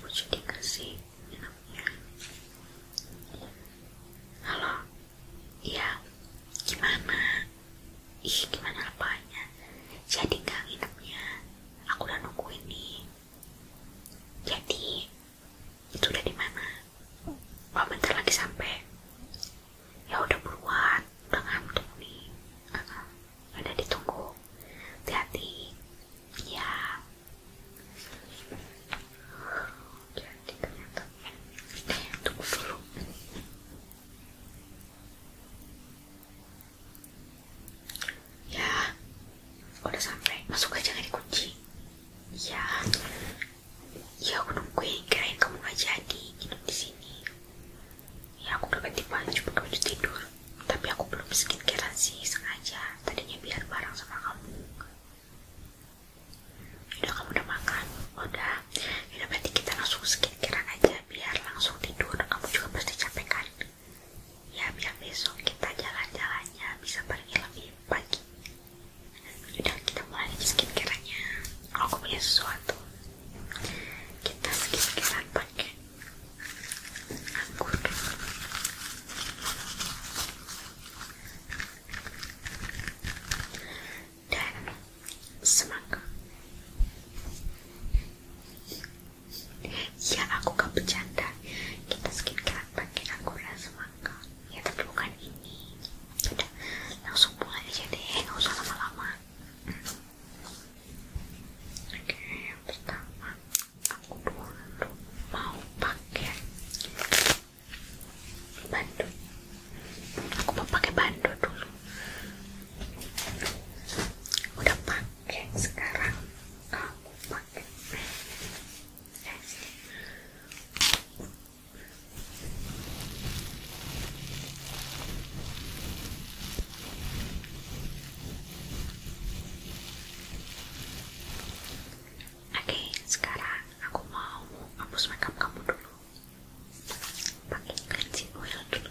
Lucu dikasih enaknya. Halo, iya, gimana? Ih, gimana apanya? Jadi gak nginepnya? Aku udah nungguin nih. Jadi, itu udah di mana? Oh, bentar lagi sampai. Ya udah buruan, udah ngantuk nih. Uh ditunggu. hati ya jadi ternyata tunggu ya udah sampai masuk aja nggak dikunci ya ya aku nungguin kirain kamu nggak jadi di sini ya aku dapat ganti baju pakai baju tidur tapi aku belum skincarean sih sengaja tadinya biar bareng sama kamu udah kamu udah makan udah udah berarti kita langsung skincarean aja biar langsung tidur kamu juga pasti capek kan ya biar besok kita jalan-jalannya bisa pergi lebih pagi udah kita mulai aja skincareannya aku punya sesuatu kita lagi skincarean pakai dan semangka ya aku gak bercanda kita skincare pakai anggur dan semangka ya tapi bukan ini udah langsung mulai aja deh gak usah lama-lama hmm. oke pertama aku dulu mau pakai bando aku mau pakai bando dulu udah pakai sekarang kamu pakai yes. Oke, Oke, sekarang aku mau hapus makeup kamu dulu. Pakai cleansing oil dulu.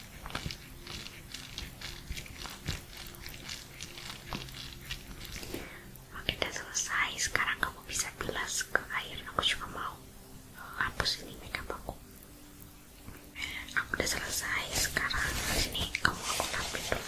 Oke udah selesai Sekarang kamu bisa bilas ke air Aku juga mau eh, hapus ini makeup aku Aku udah selesai Sekarang ini kamu aku lapin dulu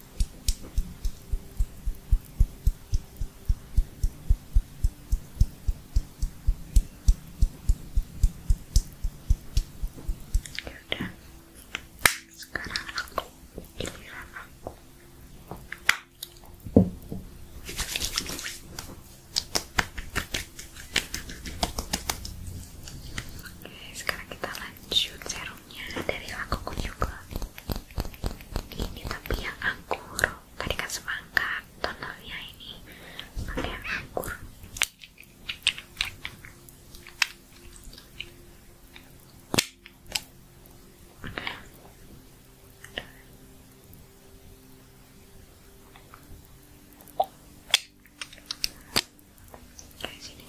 Yaudah sekarang aku giliran aku sekarang kita lanjut lanjut serumnya dari lakuku juga ini tapi yang anggur tadi kan semangka tonernya ini pakai yang anggur Oke,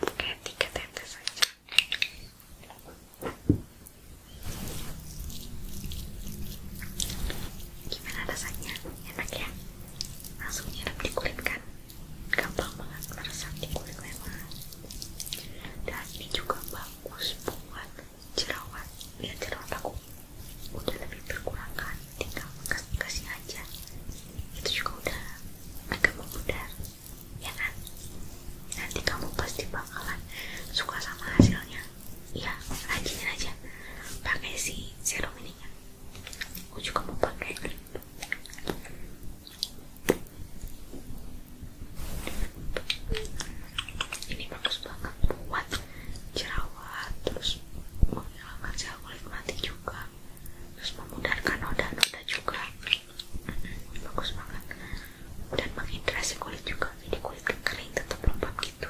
pakai tiga tetes enak ya? langsung nyerap di kan? gampang banget meresap di dan juga bagus buat jerawat biar jerawat aku udah lebih berkurang kan tinggal kasih kasih aja itu juga udah agak memudar ya kan nanti kamu pasti bakalan suka sama hasilnya iya rajinin aja pakai si serum ini ya aku kamu pakai lip ini bagus banget buat jerawat terus dalam aja kulit mati juga terus memudarkan noda-noda juga bagus banget dan menghidrasi kulit juga jadi kulit kering tetap lembab gitu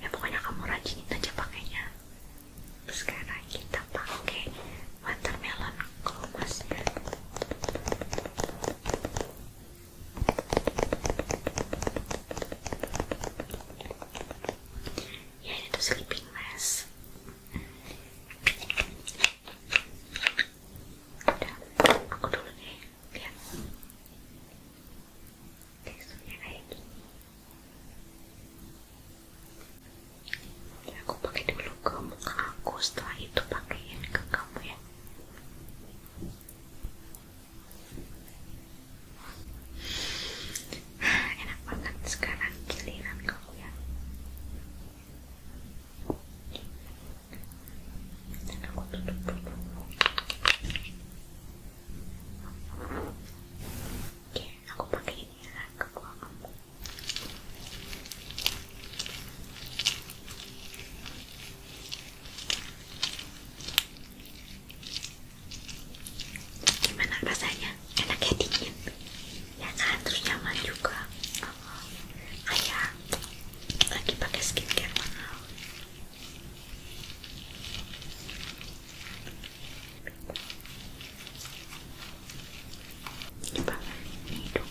ya pokoknya kamu rajinin aja pakainya sekarang kita pakai watermelon glow mas Ya itu sleeping mask. Udah, aku dulu deh. Lihat. Teksturnya kayak gini. Ya, aku pakai dulu ke muka aku, setelah itu pakaiin ke kamu ya. enak banget sekarang giliran kamu ya aku tutup dulu oke, aku pakai ini ya ke kamu gimana rasanya? enaknya dingin ya kan terus nyaman juga oh, lagi pakai skincare mahal coba ini dong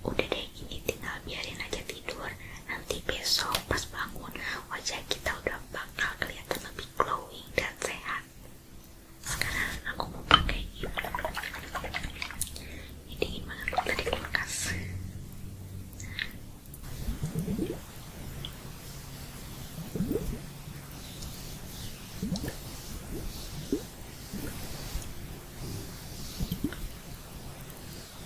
udah deh ini tinggal biarin aja tidur nanti besok pas bangun wajah kita udah bakal kelihatan lebih glowing dan sehat sekarang aku mau pakai ini ini dingin banget loh tadi kulkas Oke,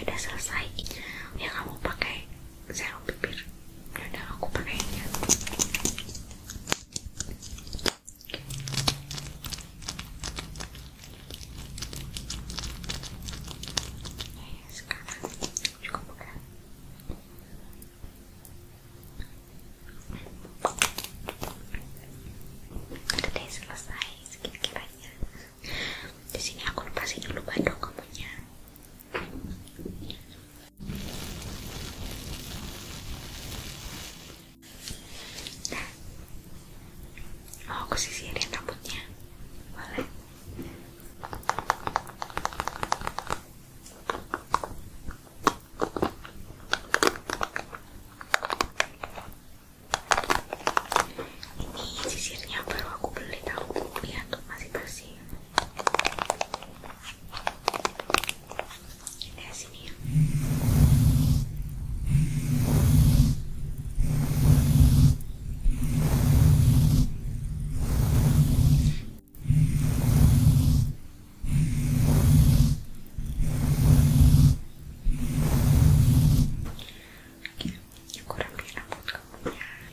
udah selesai. Ya kamu pakai saya pikir, udah aku pakainya. Ya, iya, sekarang cukup bukan? Udah selesai sekiranya. Di sini aku lepasin dulu bandung kamunya. Mau aku sisirin boleh? Ini sisirnya baru aku beli tahu, lihat masih bersih. É assim sininha? Aqui, agora abrir a boca.